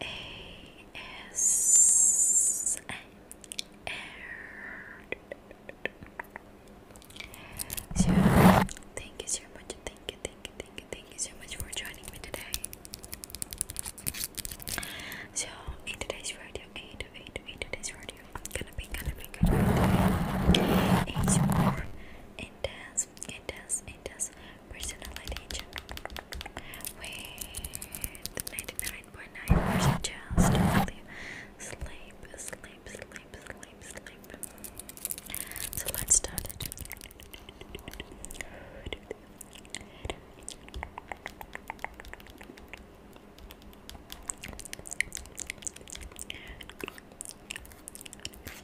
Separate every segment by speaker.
Speaker 1: ASMR. So, thank you so much. Thank you, thank you, thank you, thank you so much for joining me today. So, today's video, in, in, in today's video, I'm gonna be, gonna be, gonna be doing a more does, it does, it does. Personality check. With 99.9% chance to sleep, sleep, sleep, sleep, sleep, sleep. So let's start it.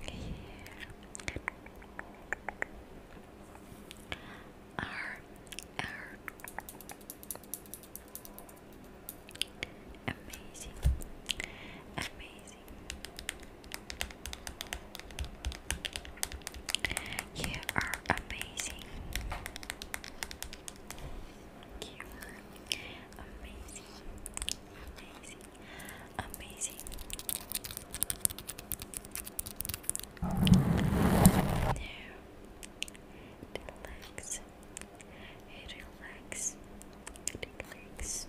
Speaker 1: here.
Speaker 2: R Amazing, amazing. You are amazing. You are amazing, amazing, amazing. relax, relax, relax, relax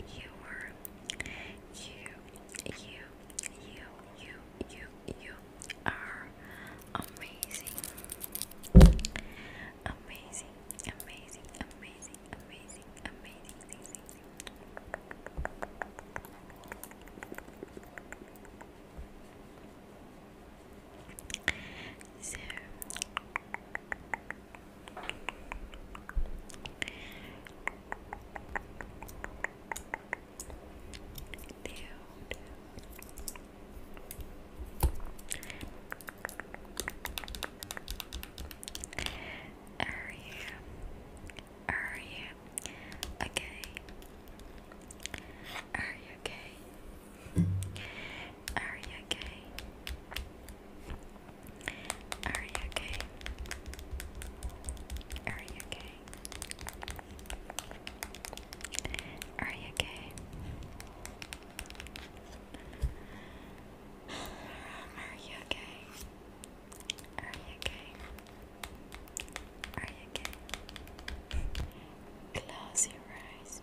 Speaker 2: You were you, you, you, you, you, are amazing. Amazing, amazing, amazing, amazing, amazing, amazing. Are you? Are you okay? Are you okay? Are you okay? Are you okay? Are you okay? Are you okay? Are you okay? Are you okay? Are you
Speaker 3: okay? Close your eyes.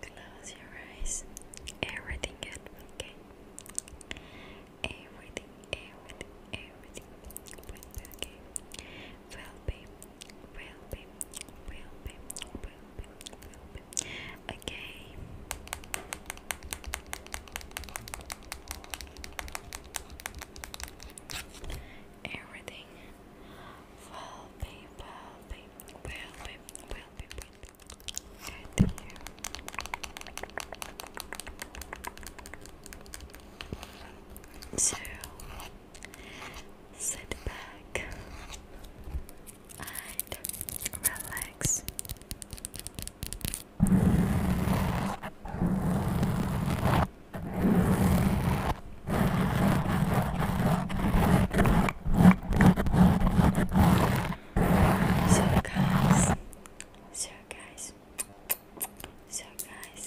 Speaker 3: Close your eyes. Everything is okay. Everything, everything, everything will be okay. Will be, will be, will be, will be, Okay. Everything will be, will be, well, well, well, well. Thank you. So, sit back and relax. So guys, so guys, so guys.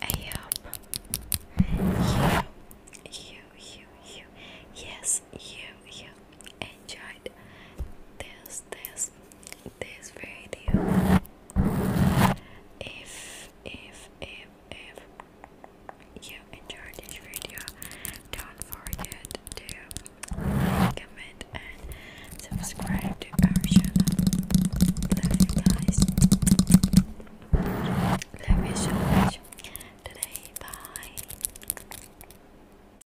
Speaker 2: I hope you, you, you, you, yes, you, you enjoyed this, this, this video if if if if you enjoyed this video don't forget to comment and subscribe to our channel love you guys love you so much today bye